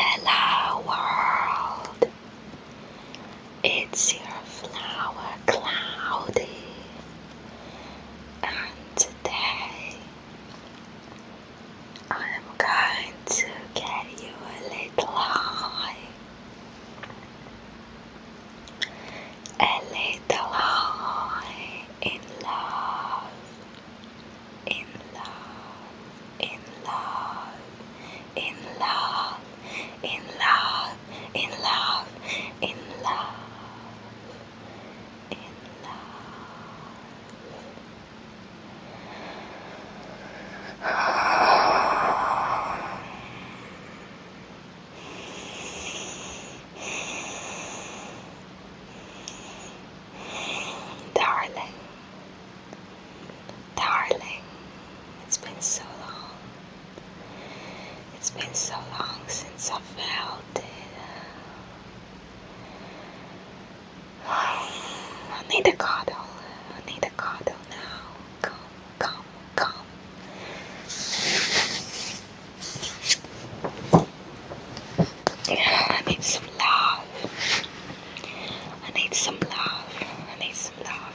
Hello world! It's your flower cloudy and today I'm going to get you a little high, a little high in love, in love, in love, in love, in love, in love, in love, in love. Darling, darling, it's been so long. It's been so long since I felt it. I need a cuddle. I need a cuddle now. Come, come, come. I need some love. I need some love. I need some love.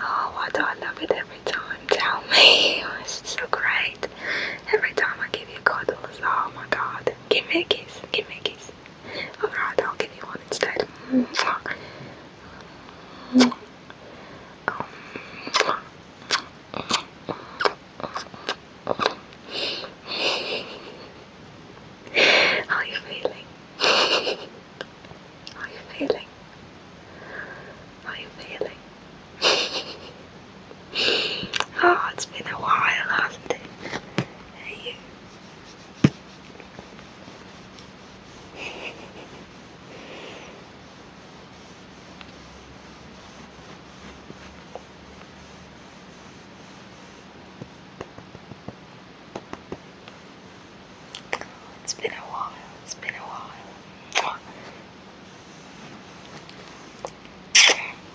Oh, why do I love it every time? Tell me. It's so great. Every time I give you cuddles, oh my god give me a kiss, give me a kiss. Alright, I'll give you one instead. Mm, How are you feeling? How are you feeling? How are you feeling? Oh, it's been a while, hasn't it? Hey, it's been a while, it's been a while.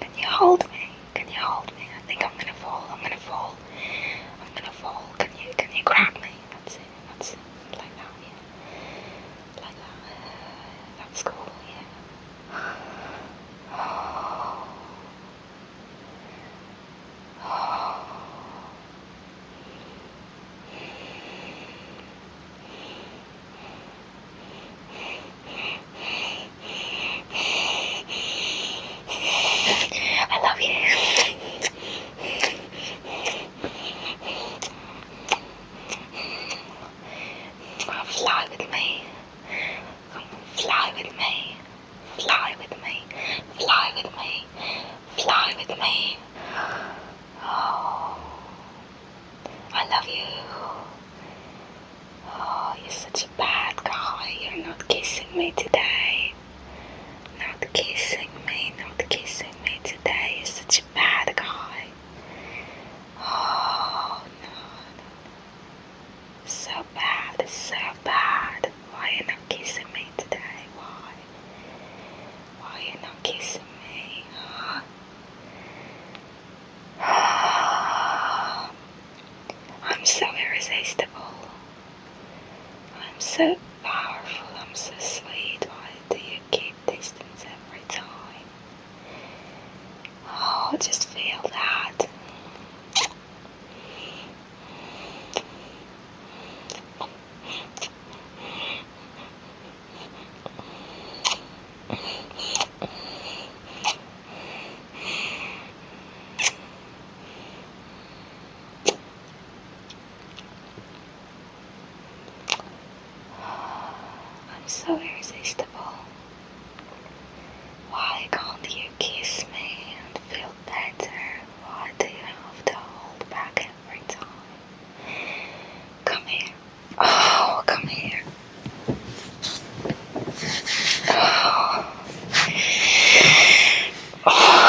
Can you hold me? Can you hold me? I think I'm gonna fall. I'm gonna fall. I'm gonna fall. Can you can you grab me? That's it. That's it. Like that, yeah. Like that. that's cool, yeah. I love you. Fly with me. Fly with me. Fly with me. Fly with me. Fly with me. Oh. I love you. Oh, you're such a bad guy. You're not kissing me today. Not kissing me, not kissing me today. You're such a bad guy. Oh, no, So bad, so bad. Why are you not kissing me today? Why? Why are you not kissing me? I'm so irresistible. I'm so powerful. I'm so sweet. Why do you keep distance every time? Oh, just feel that. I'm so irresistible. Why can't you kiss me and feel better? Why do you have to hold back every time. Come here. Oh, come here. Oh. Oh.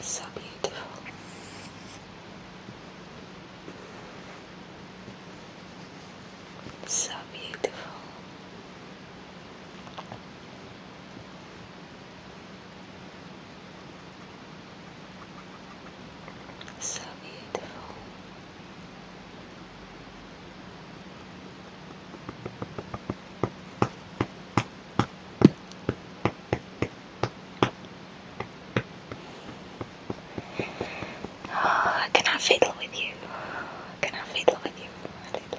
So beautiful. So beautiful. So beautiful. Oh, can I fiddle with you? Can I fiddle with you a little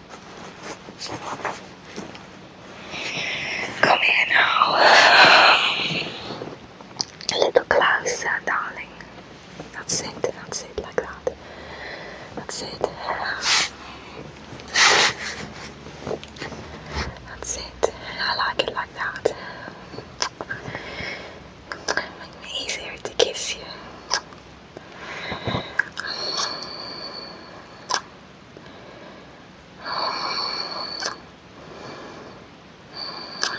Come here now. A little closer, darling. That's it, that's it, like that. That's it. That's it. I like it like that. easier to kiss you.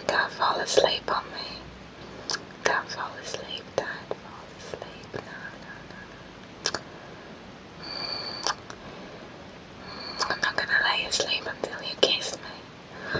Don't fall asleep on me. Don't fall asleep, Dad. Fall asleep. No, no, no. I'm not gonna lay asleep until you kiss me.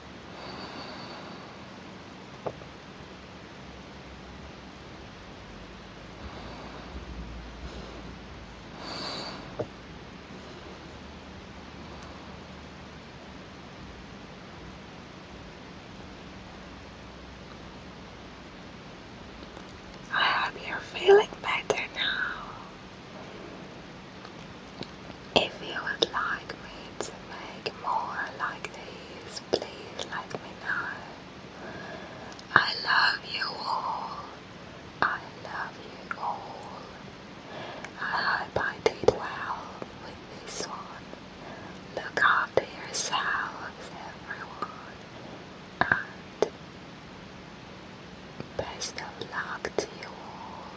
I hope you're feeling better now. If you would like me to make more like these, please let me know. I love you all. I love you all. I hope I did well with this one. Look after yourselves, everyone, and best of luck to you all.